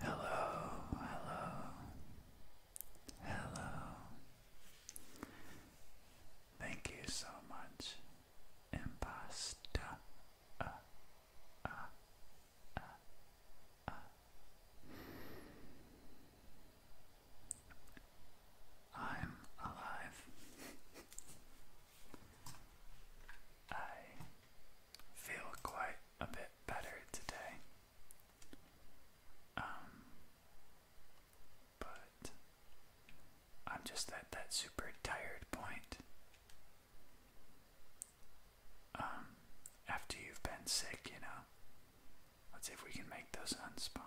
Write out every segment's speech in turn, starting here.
Hello, hello, hello. Thank you so much, Impasta. I'm alive. I feel quite a bit better today. Um, but I'm just at that super tired point. Um, after you've been sick, you know. Let's see if we can make those unspawn.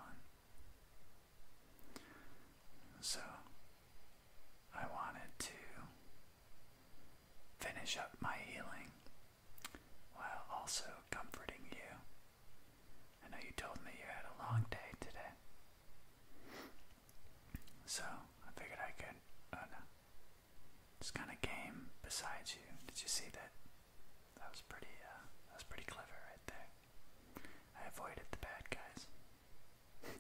So, I wanted to finish up my healing while also comforting you. I know you told me you had a long day today. So I figured I could. Oh no. Just kind of game beside you. Did you see that? That was pretty. Uh, that was pretty clever right there. I avoided the bad guys.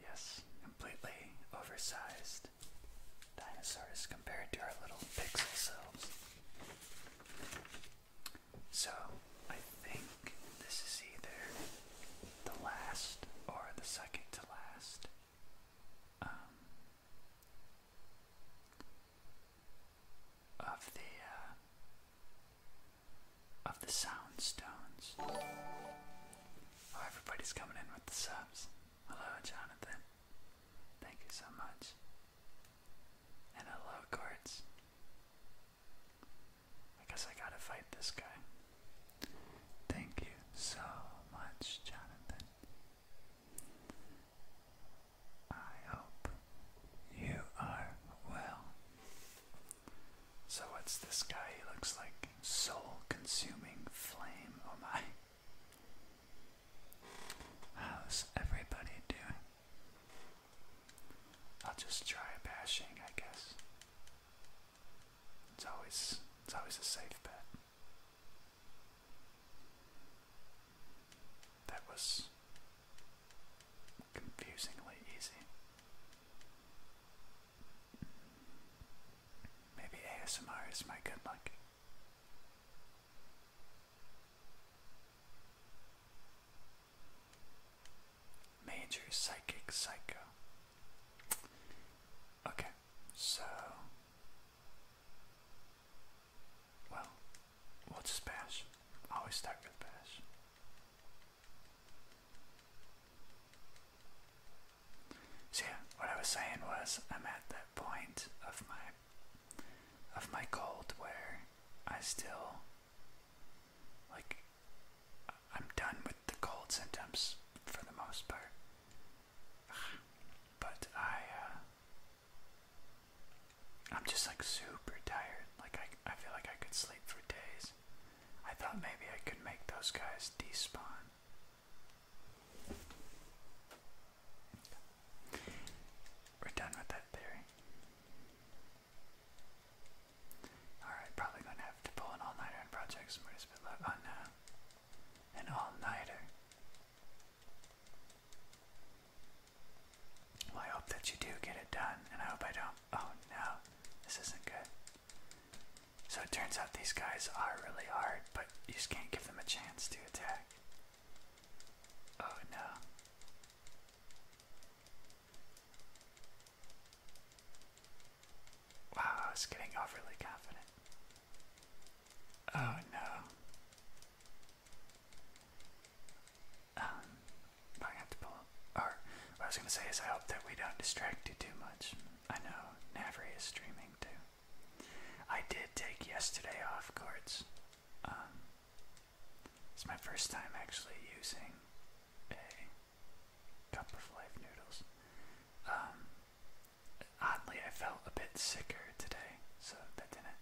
Yes, completely oversized dinosaurs compared to our little pixel selves. So, I think this is either the last or the second to last. Um, of the uh, of the sound stones Oh, everybody's coming in with the subs. Hello, Jonathan. Thank you so much. And hello, Quartz. I guess I gotta fight this guy. Thank you so much, Jonathan. I hope you are well. So what's this guy? He looks like soul-consuming flame. Oh my. How's everybody doing? I'll just try bashing, I guess. It's always it's always a safe bet. That was confusingly easy. Maybe ASMR is my good luck. Major Psychic Psycho. Okay, so. Well, we bash. Always start with bash. So yeah, what I was saying was I'm at that point of my of my cold where I still like I'm done with the cold symptoms for the most part. But I uh, I'm just like super tired. Like I I feel like I could sleep for days. I thought maybe I could make those guys despawn. We're done with that theory. Alright, probably gonna have to pull an all-nighter on Project Oh no. An all-nighter. Well, I hope that you do get it done, and I hope I don't. Oh no, this isn't good. So it turns out these guys are really hard, but you just can't give them a chance to attack. Oh no. Wow, I was getting overly confident. Oh no. Um, I have to pull. Or what I was gonna say is, I hope that we don't distract you too much. I know Navri is streaming too. I did take yesterday off courts. Um, it's my first time actually using a cup of life noodles. Um, oddly, I felt a bit sicker today, so that didn't.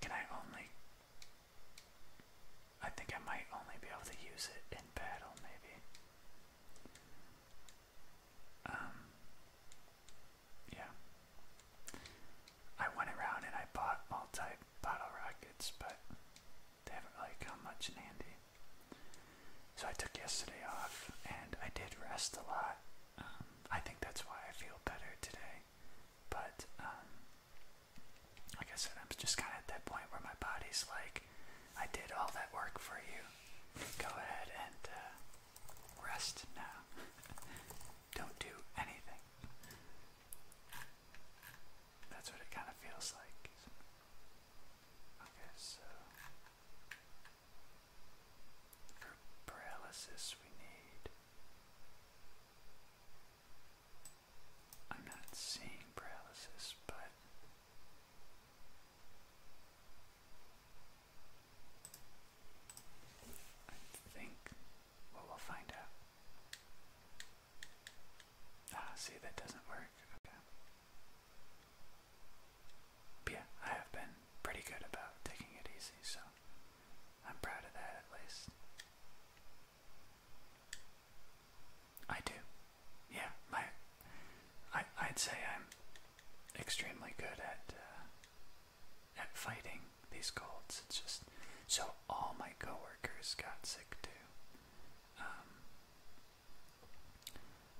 Can I only. I think I might only be able to use it in battle, maybe. Um, yeah. I went around and I bought all type bottle rockets, but they haven't really come much in handy. So I took yesterday off and I did rest a lot. Um, I think that's why I feel better today. But um, like I said, I'm just kind of at that point where my body's like, I did all that work for you. Go ahead and uh, rest now. Don't do anything. That's what it kind of feels like. Okay, so for paralysis we need. I'm not seeing paralysis, but I think, we'll find out. Ah, see, that doesn't work. yeah, I have been pretty good about taking it easy, so I'm proud of that at least. I do yeah, my, I, I'd say I'm extremely good at uh, at fighting these colds. It's just so all my coworkers got sick too. Um,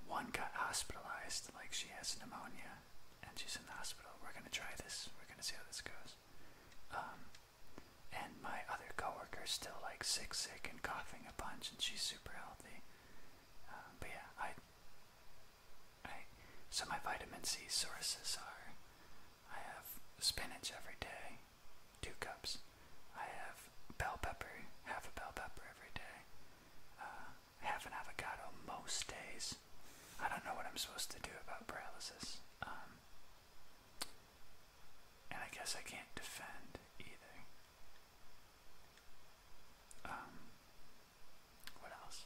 one got hospitalized, like she has pneumonia, and she's in the hospital. We're gonna try this. We're gonna see how this goes. Um, and my other coworker's still like sick, sick, and coughing a bunch, and she's super healthy but yeah, I, I. So my vitamin C sources are: I have spinach every day, two cups. I have bell pepper, half a bell pepper every day. Uh, half an avocado most days. I don't know what I'm supposed to do about paralysis. Um, and I guess I can't defend either. Um, what else?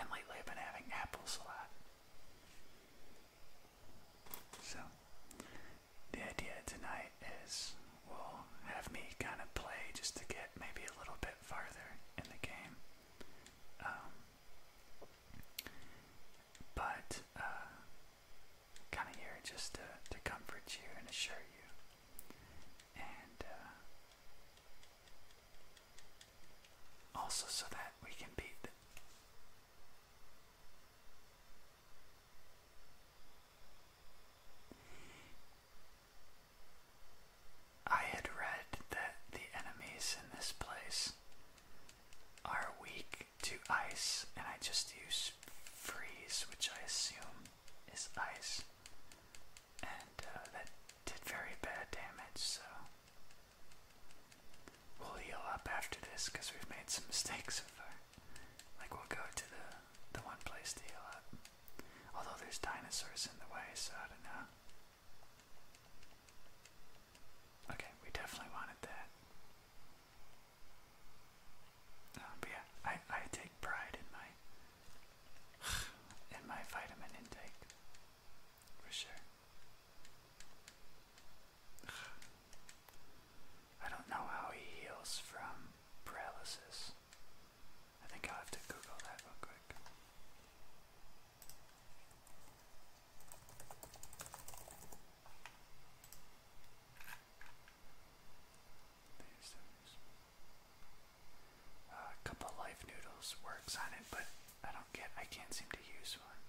And lately I've been having apples a lot. So, the idea tonight is we'll have me kind of play just to get maybe a little bit farther in the game. Um, but, uh, kind of here just to, to comfort you and assure you. And uh, also so that we can beat I had read that the enemies in this place are weak to ice, and I just use freeze, which I assume is ice, and uh, that did very bad damage, so we'll heal up after this because we've made some mistakes so far. Like, we'll go to the, the one place to heal up. Although there's dinosaurs in the way, so I don't know. Okay, we definitely wanted that but yeah, I I take pride in my in my vitamin intake for sure. I don't know how he heals from paralysis. I think I'll have to Google that real quick a couple life noodles works on it, but I don't get. I can't seem to use one.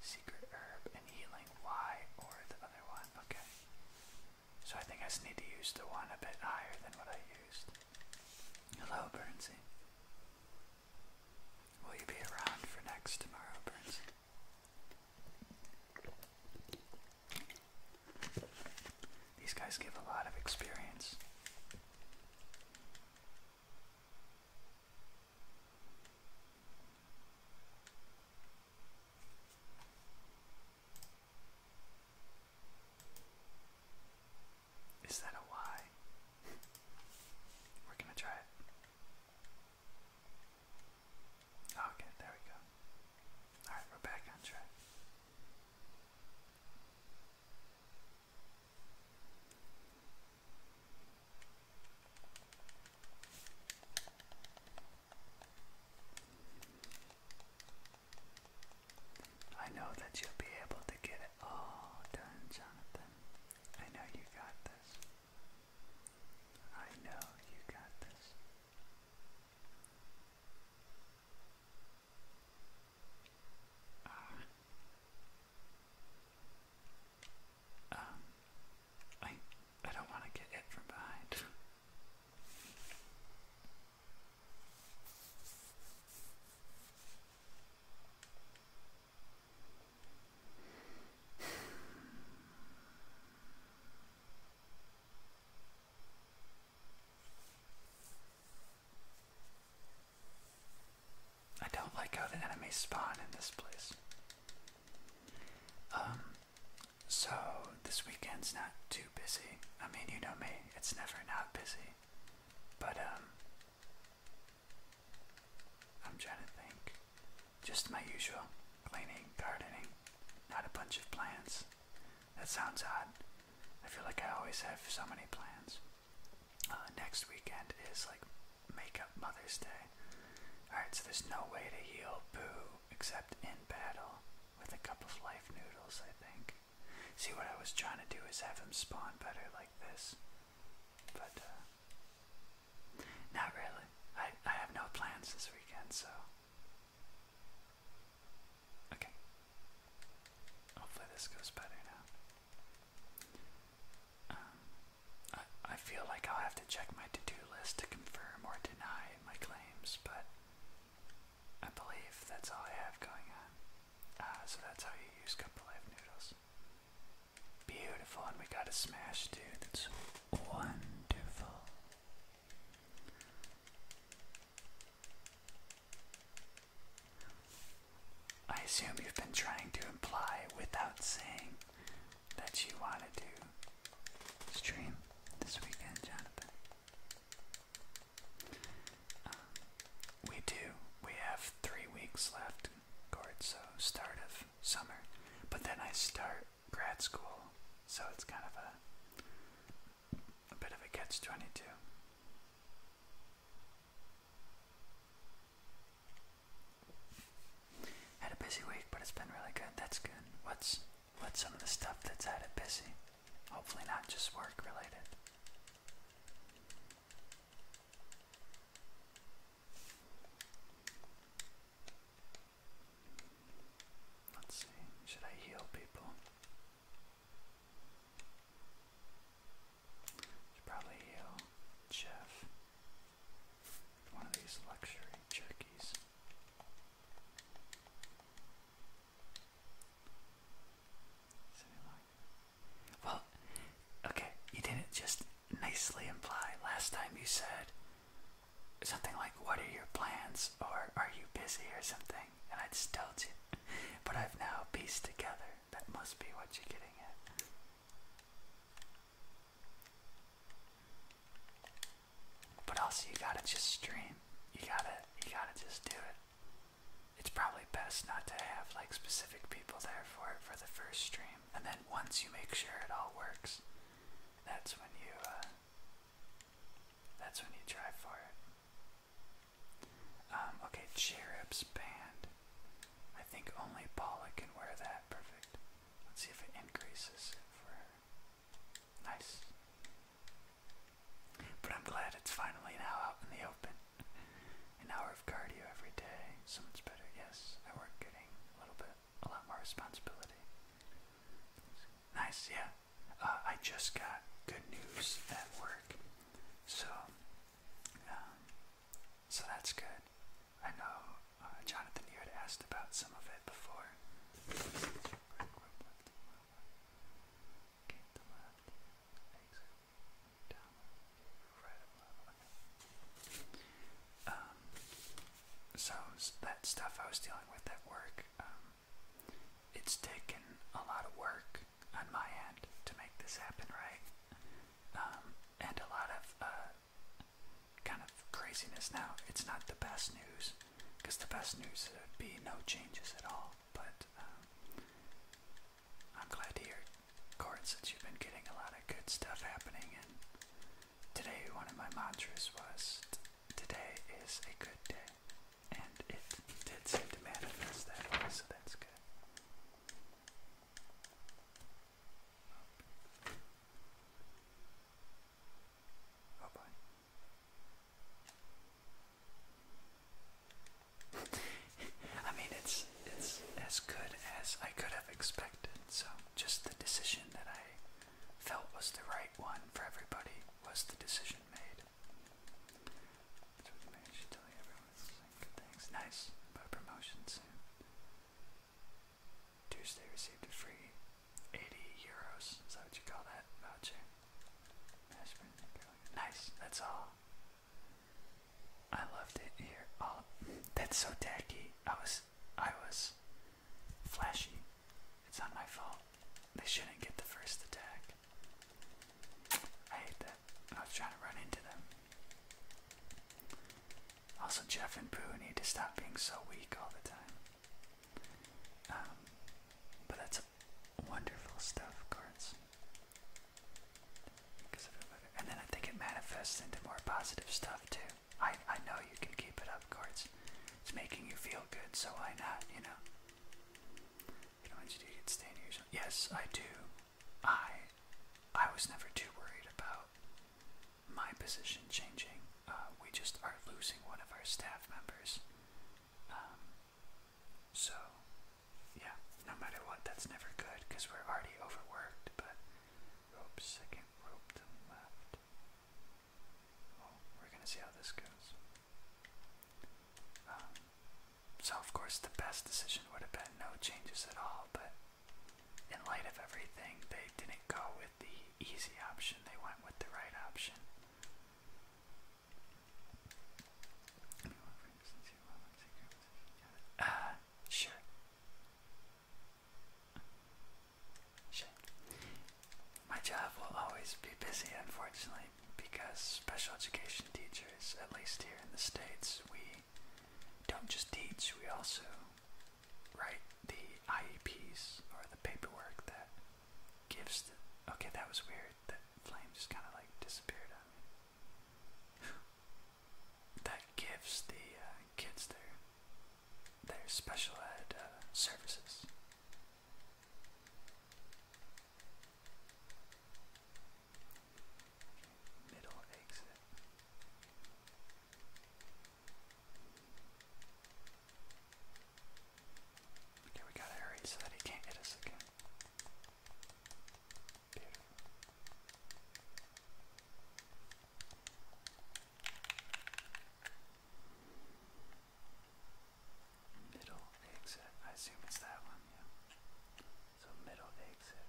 Secret herb and healing Y or the other one. Okay. So I think I just need to use the one a bit higher than what I used. Hello, Bernsey. Will you be around for next tomorrow, Bernsey? These guys give a lot of experience. Is that a Y? We're gonna try it. Okay, there we go. Alright, we're back on track. I know that you'll be able to get it all done, Jonathan. I know you got this. I know you got this. Uh, um, I I don't want to get hit from behind. I don't like how the enemies spawn in this place. Um, so this weekend's not too busy. I mean, you know me, it's never not busy. But, um, I'm trying to think. Just my usual cleaning, gardening, not a bunch of plants. That sounds odd. I feel like I always have so many plans. Uh, next weekend is like Makeup Mother's Day. Alright, so there's no way to heal Boo except in battle with a cup of life noodles, I think. See, what I was trying to do is have him spawn better like this. But, uh, not really. I, I have no plans this weekend, so Okay. Hopefully this goes better now. Um, I, I feel like I'll have to check my to-do list to confirm or deny my claims, but I believe that's all I have going on. Uh, so that's how you use cup of life noodles. Beautiful, and we got a smash, dude. That's wonderful. I assume you've been trying to imply without saying that you want to stream this weekend, Jonathan. Uh, we do. We have three weeks left, Gord, so start of summer. But then I start grad school, so it's kind of a, a bit of a catch 22. Had a busy week, but it's been really good. That's good. What's what's some of the stuff that's had it busy? Hopefully not just work related. Let's see, should I heal people? Should probably heal Jeff. One of these luxury turkeys. well, okay, you didn't just nicely imply last time you said something like, What are your plans? or Are you busy? or something, and I just told you. But I've now pieced together. That must be what you're getting at. But also, you gotta just stream. You gotta, you gotta just do it. It's probably best not to have like specific people there for it for the first stream, and then once you make sure it all works, that's when you uh, that's when you try for it. Um, okay, cherub's band. I think only Paula can wear that. Perfect. Let's see if it increases for her. Nice. But I'm glad it's finally now out in the open. An hour of cardio every day. So better. Yes, I work getting a little bit, a lot more responsibility. Nice, yeah uh, I just got good news at work, so um, so that's good. I know uh, Jonathan, you had asked about some of it before. Um, so that stuff I was dealing with at work, um, it's taken a lot of work on my end to make this happen right, um, and a lot of uh, kind of craziness. Now, it's not the best news, because the best news would be no changes at all, but um, I'm glad to hear, Courts, that you've been getting a lot of good stuff happening, and today one of my mantras was, today is a good day. And it did seem to manifest that way, so that's good. Oh boy. I mean it's it's as good as I could have expected, so just the decision that I felt was the right one for everybody was the decision made. That's Nice, promotion soon. Tuesday received a free 80 euros. Is that what you call that voucher? Nice, that's all. I loved it here. Oh, that's so tacky. I was, I was, flashy. It's not my fault. They shouldn't get the first attack. I hate that. I was trying to run into them. Also, Jeff and Pooh need to stop being so weak all the time. Um, but that's wonderful stuff, cards. And then I think it manifests into more positive stuff too. I, I know you can keep it up, cards. It's making you feel good, so why not, you know? Yes, I do. I, I was never too worried about my position changing. Uh, we just are losing one of our staff members. Um, so, yeah, no matter what, that's never good because we're already overworked. But rope second, rope left. Oh, we're gonna see how this goes. Um, so, of course, the best decision would have been no changes at all, but in light of everything, they didn't go with the easy option, they went with the right option. Uh, sure. Sure. My job will always be busy, unfortunately, because special education teachers, at least here in the States, we don't just teach, we also write the IEPs or the paperwork that gives the. Okay, that was weird. That flame just kind of like disappeared on me. that gives the uh, kids their their special ed uh, services. Middle exit. Okay, we gotta hurry so that he can't hit us again. Beautiful middle exit. I assume it's that one, yeah. So middle exit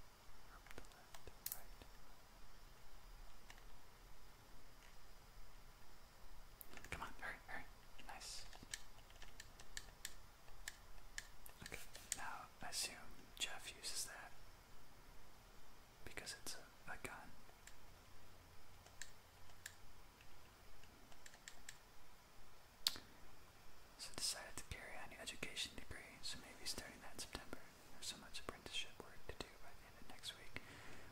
Come on, hurry, hurry. Nice. Okay, now assume Jeff uses that because it's a gun. So I decided to carry on your education degree, so maybe starting that in September. There's so much apprenticeship work to do by the end of next week.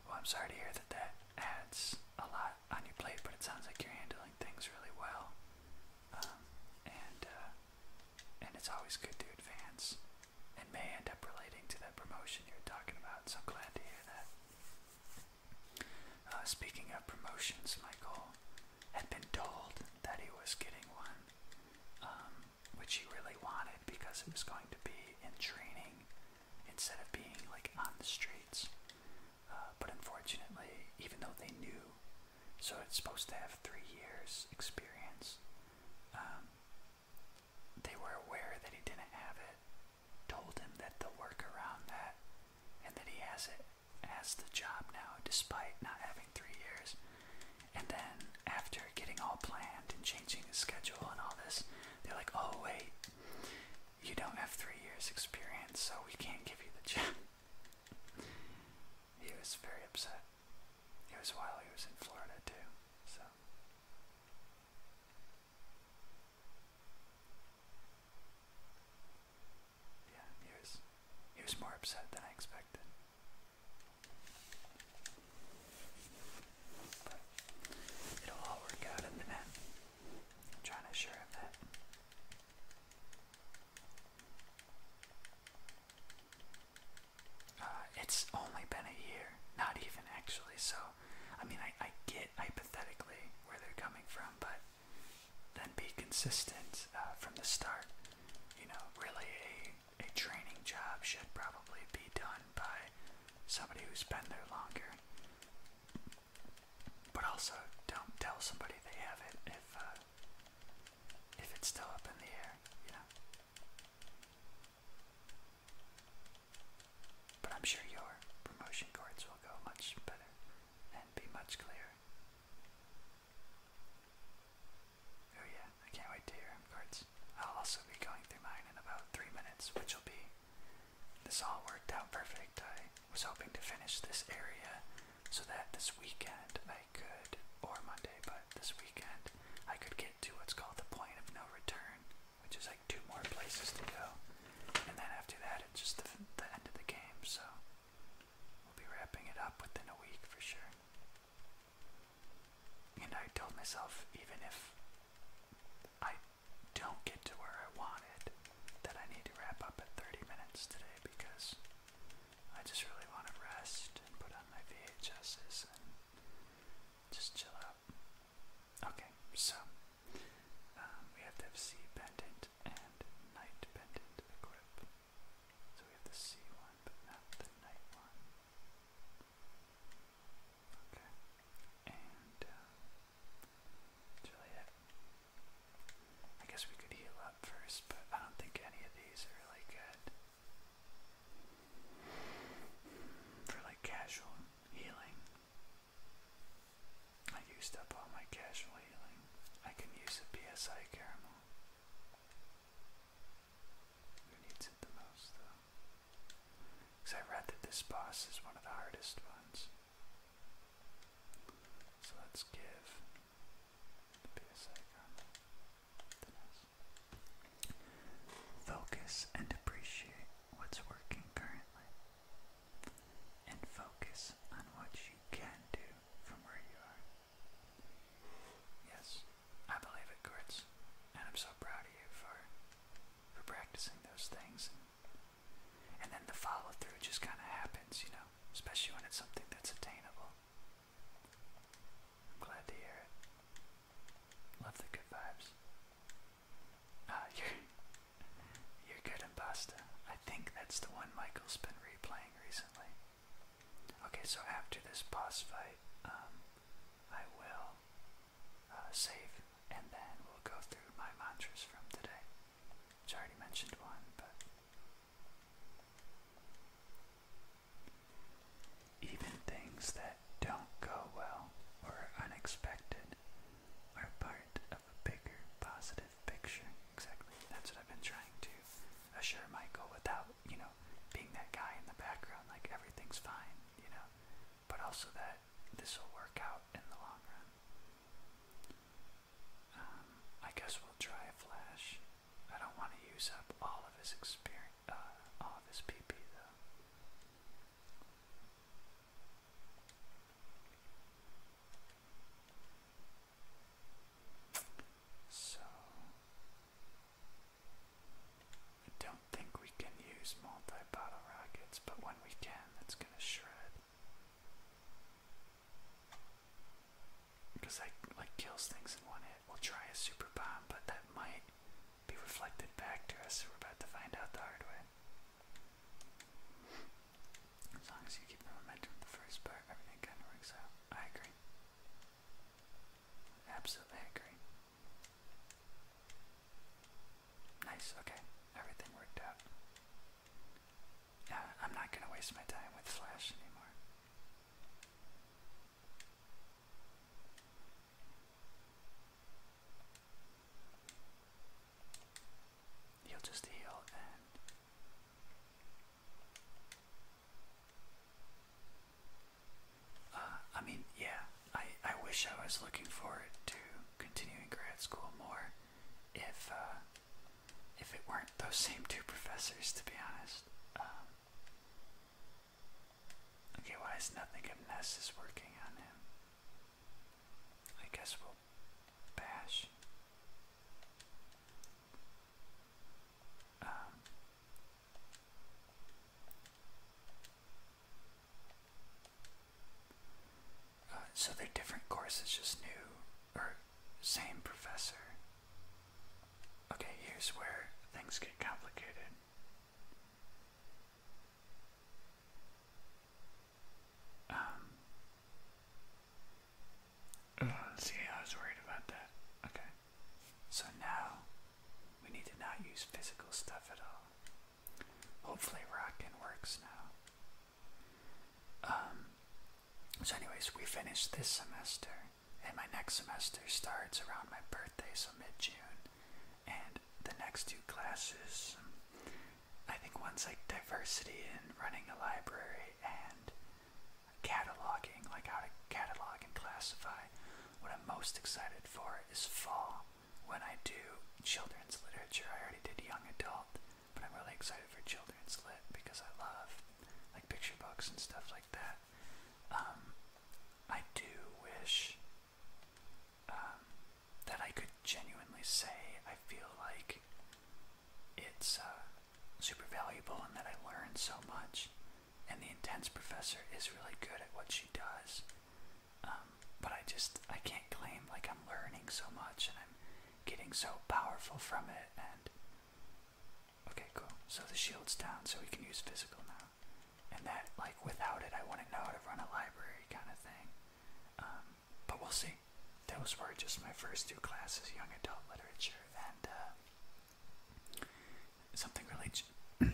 Well, I'm sorry to hear that that adds a lot on your plate, but it sounds like you're handling things really well. Um, and, uh, and it's always good to advance and may end up relating to that promotion you were talking about, so glad to hear that. Uh, speaking of promotions, Michael had been told that he was getting one, um, which he really wanted because it was going to be in training instead of being like on the streets. Uh, but unfortunately, even though they knew, so it's supposed to have three years' experience, um, they were aware that he didn't have it, told him that the work around that and that he has it has the job now despite not having three years. And then after getting all planned and changing his schedule and all this, they're like, oh wait, you don't have three years experience, so we can't give you the job. he was very upset. It was while he was in Florida too, so yeah, he was he was more upset than I expected. But it'll all work out in the end. trying to assure that. Uh, it's only been a year, not even actually, so I mean, I, I get hypothetically where they're coming from, but then be consistent uh, from the start. You know, really a, a training job should probably be done by somebody who's been there longer. But also, don't tell somebody they have it if, uh, if it's still up in the air, you but I'm sure your promotion cards will go much better and be much clearer. Oh yeah, I can't wait to hear cards. I'll also be going through mine in about three minutes, which will be this all worked out perfect. I was hoping to finish this area so that this weekend I could, or Monday, but this weekend I could get to what's called the point of no return, which is, I two more places to go. And then after that, it's just the end of the game, so we'll be wrapping it up within a week for sure. And I told myself, even if I don't get to where I wanted, that I need to wrap up at 30 minutes today because I just really want to rest and put on my VHSs and just chill out. Okay, so um, we have to have C pendant and night pendant equip. So we have the sea one, but not the night one. Okay. And um, I guess we could heal up first, but I don't think any of these are really good for like casual healing. I used up all my casual healing. I can use a PSI caramel. Who needs it the most, though? Because I read that this boss is one of the hardest ones. So let's give the PSI caramel. Focus and appreciate what's working currently and focus on what you can do from where you are. Yes, I believe it, Kurtz, and I'm so proud of you for for practicing those things. And then the follow through just kind of happens, you know, especially when it's something that's attainable. I'm glad to hear it. Love the good vibes. Ah, you're, good and basta. I think that's the one Michael's been replaying recently. Okay, so after this boss fight, um, I will uh, save, and then we'll go through my mantras from today. I already mentioned one, but. Even things that don't go well or unexpected are part a bigger positive picture. Exactly. That's what I've been trying to assure Michael without, you know, being that guy in the background, like everything's fine, you know, but also that this will work out in the long run. Um, I guess we'll try a flash. I don't want to use up all of his experience, uh, all of his PP though. So I don't think we can use multi-bottle rockets, but when we can, it's gonna shred. Because that like kills things in one hit. We'll try a super bomb, but that might be reflected back to us. We're about to find out the hard way. As long as you keep the momentum the first part, everything kind of works out. I agree. Absolutely agree. Nice, okay. Everything worked out. Yeah, uh, I'm not gonna waste my time with Flash anymore. He'll just heal and uh, I mean, yeah, I, I wish I was looking forward to continuing grad school more if uh, if it weren't those same two professors, to be honest. Um, okay, why is nothing of Ness is working on him? I guess we'll um, uh, so they're different courses, just new or same professor. Okay, here's where things get complicated. Um, oh, I was worried about that. Okay, so now we need to not use physical stuff at all. Hopefully, Rockin works now. Um, so, anyways, we finished this semester, and my next semester starts around my birthday, so mid June. And the next two classes I think ones like diversity in running a library and cataloging, like how to catalog and classify. What I'm most excited for is fall when I do children's literature. I already did young adult, but I'm really excited for children's lit because I love like picture books and stuff like that. Um, I do wish um, that I could genuinely say I feel like it's uh, super valuable and that I learned so much. And the intense professor is really good at what she does. Um, but I just, I can't claim like I'm learning so much and I'm getting so powerful from it. And okay, cool. So the shield's down, so we can use physical now. And that, like, without it, I wouldn't know how to run a library kind of thing. Um, but we'll see. Those were just my first two classes, young adult literature and uh, something really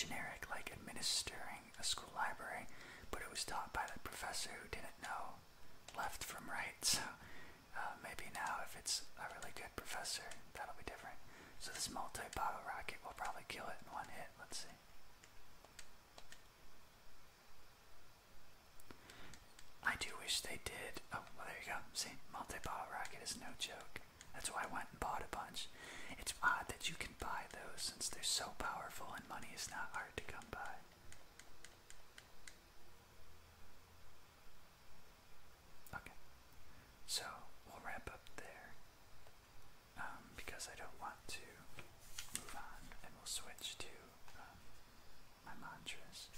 generic, like administering a school library, but it was taught by the professor who didn't know left from right. So uh, maybe now, if it's a really good professor, that'll be different. So this multi-bottle rocket will probably kill it in one hit. Let's see. I do wish they did. Oh, well, there you go. See, multi-ball racket is no joke. That's why I went and bought a bunch. It's odd that you can buy those since they're so powerful and money is not hard to come by. Okay, so we'll wrap up there um, because I don't want to move on and we'll switch to my mantras.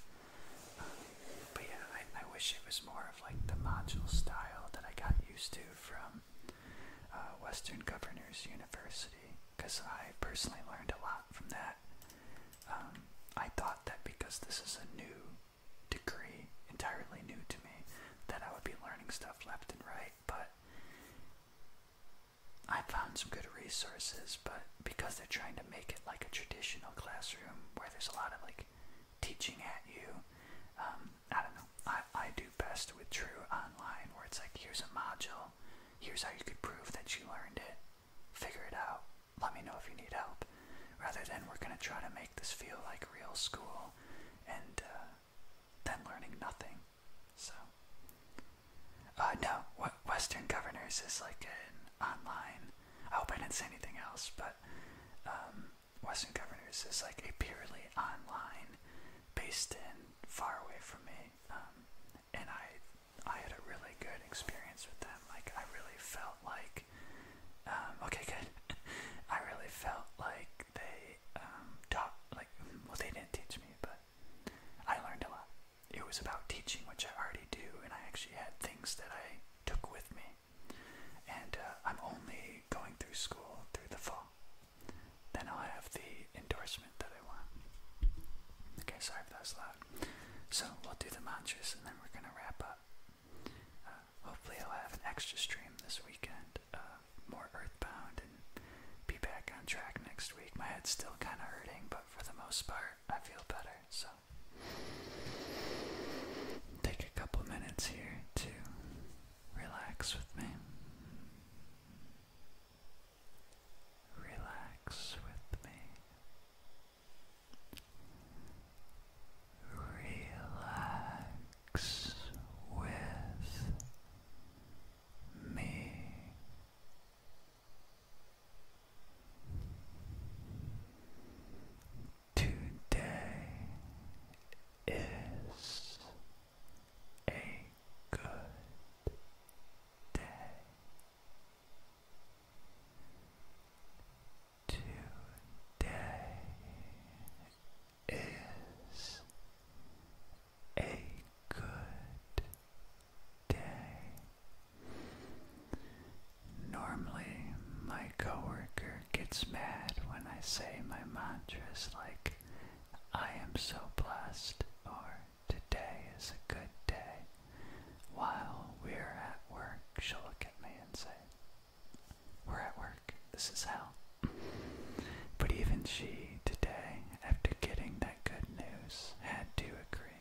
but yeah, I, wish it was more of like the module style that I got used to from uh, Western Governors University, because I personally learned a lot from that. Um, I thought that because this is a new degree, entirely new to me, that I would be learning stuff left and right, but I found some good resources, but because they're trying to make it like a traditional classroom where there's a lot of like teaching at you, um, I don't know. I, I do best with True Online where it's like, here's a module, here's how you could prove that you learned it, figure it out, let me know if you need help, rather than we're going to try to make this feel like real school and uh, then learning nothing. So, uh, no, what Western Governors is like an online. I hope I didn't say anything else, but um, Western Governors is like a purely online, based in far away from me, um, and I I had a really good experience with them. Like I really felt like, um, okay, good. I really felt like they taught, like well, they didn't teach me, but I learned a lot. It was about teaching, which I already do, and I actually had things that I took with me. And uh, I'm only going through school through the fall. Then I'll have the endorsement that I want. Okay, sorry if that was loud. So we'll do the mantras and then we're going to wrap up. Uh, hopefully, I'll have an extra stream this weekend, uh, more earthbound be back on track next week. My head's still kind of hurting, but for the most part, I feel better. So, take a couple minutes here to relax with me. Relax with me. Relax with me. Today is a good day. Today is a good day. Normally, my coworker gets mad when I say my mantras like, I am so blessed, or today is a good day. While we're at work, she'll look at me and say, We're at work, this is hell. But even she, today, after getting that good news, had to agree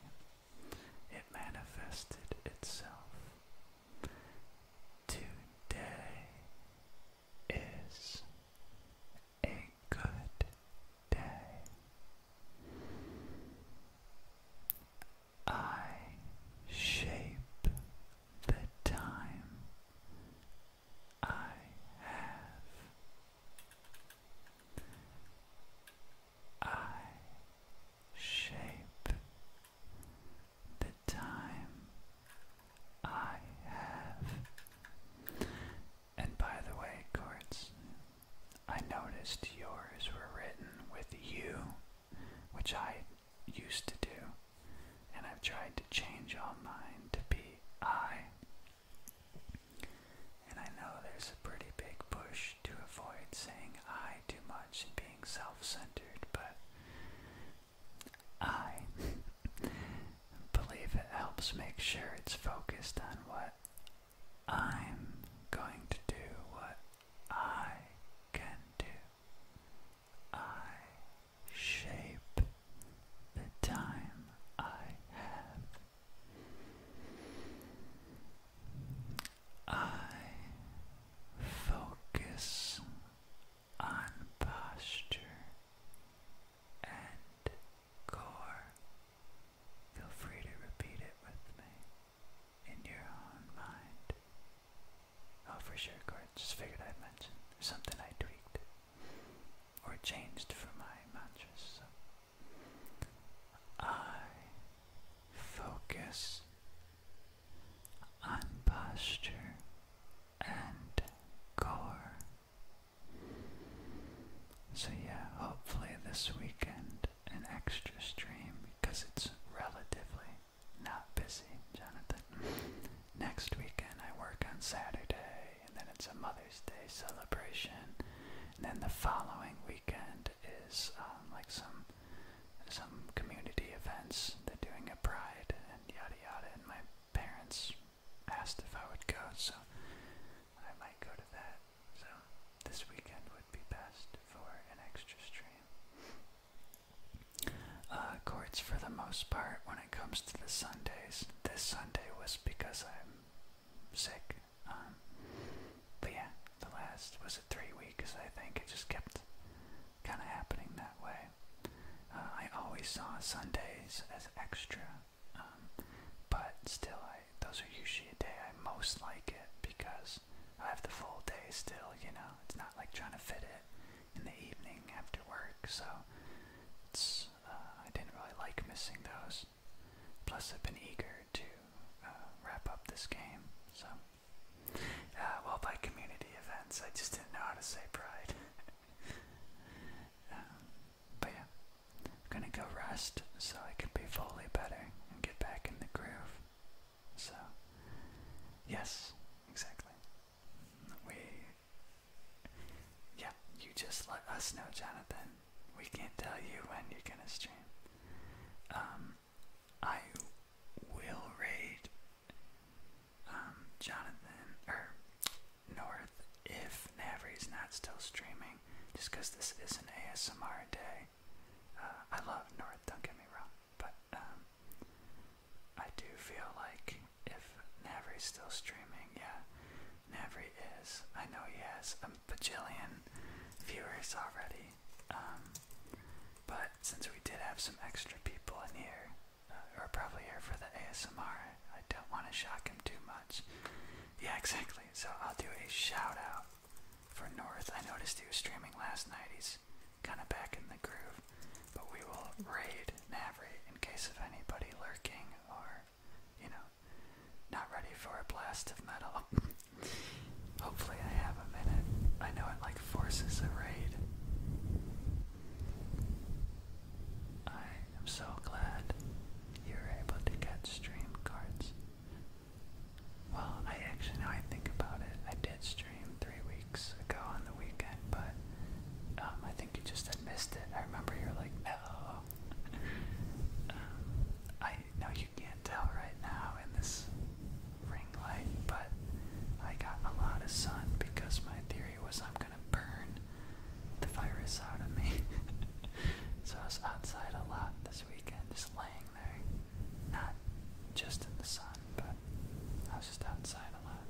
it manifested itself. Today is a good day. I shape the time I have I shape the time I have. And by the way, chords, I noticed yours were written with you, which I used to do, and I've tried to change all mine to be I. And I know there's a pretty big push to avoid saying I too much and being self centered, but I believe it helps make sure it's focused on what I'm going to do, what I can do. I shape the time I have I focus on posture and core. Feel free to repeat it with me in your own mind. Oh, for sure, Gord. Just figured I'd mention. something I tweaked or changed for my mantras. I focus on posture and core. So, yeah, hopefully this weekend an extra stream because it's relatively not busy, Jonathan. Next weekend I work on Saturday and then it's a Mother's Day celebration. And then the following weekend is um, like some some community events. They're doing a pride and yada yada. And my parents asked if I would go, so I might go to that. So this weekend would be best for an extra stream. Uh, courts for the most part when it comes to the Sundays. This Sunday was because I'm sick. Um, but yeah, the last was it three weeks, I think. It just kept kind of happening that way. Uh, I always saw Sundays as extra, um, but still, I those are usually a day I most like it because I have the full day still. You know, it's not like trying to fit it in the evening after work. So it's uh, I didn't really like missing those. Plus, I've been eager to uh, wrap up this game. So, uh, well, by community events, I just didn't know how to say pride. Um, but yeah, I'm gonna go rest so I can be fully better and get back in the groove. So, yes, exactly. We, yeah, you just let us know, Jonathan, we can't tell you when you're gonna stream. Um, I will raid um, Jonathan or North if Navry's not still streaming, just because this is an ASMR day. Uh, I love North, don't get me wrong, but um, I do feel like if Navry's still streaming, yeah, Never is. I know he has a bajillion viewers already. Um, but since we did have some extra people in here, uh, or probably here for the ASMR, I don't want to shock him too much. Yeah, exactly. So I'll do a shout out for North. I noticed he was streaming last night. He's kind of back in the groove. But we will raid Navri in case of anybody lurking or you know, not ready for a blast of metal. Hopefully, I have a minute. I know it like forces a raid. I am so glad you are able to get stream cards. Well, I actually, now I think about it, I did stream three weeks ago on the weekend, but um, I think you just missed it. I remember you were like, no. Um, I know you can't tell right now in this ring light, but I got a lot of sun because my theory was I'm gonna burn the virus out of me. so I was outside a lot this weekend, just laying there. Not just in the sun, but I was just outside a lot.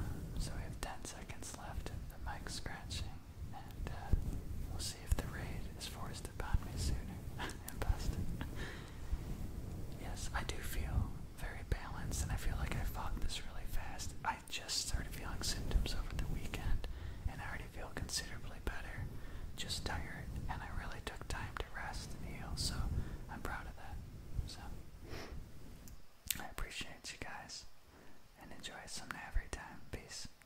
Um, so we have 10 seconds left and the mic's scratching and uh, we'll see if the raid is forced upon me sooner and faster. yes, I do feel very balanced, and I feel like I fought this really fast. I just started feeling symptoms over the weekend, and I already feel considerably better. Just tired, and I really took time to rest and heal, so I'm proud of that. So, I appreciate you guys, and enjoy some every time. Peace.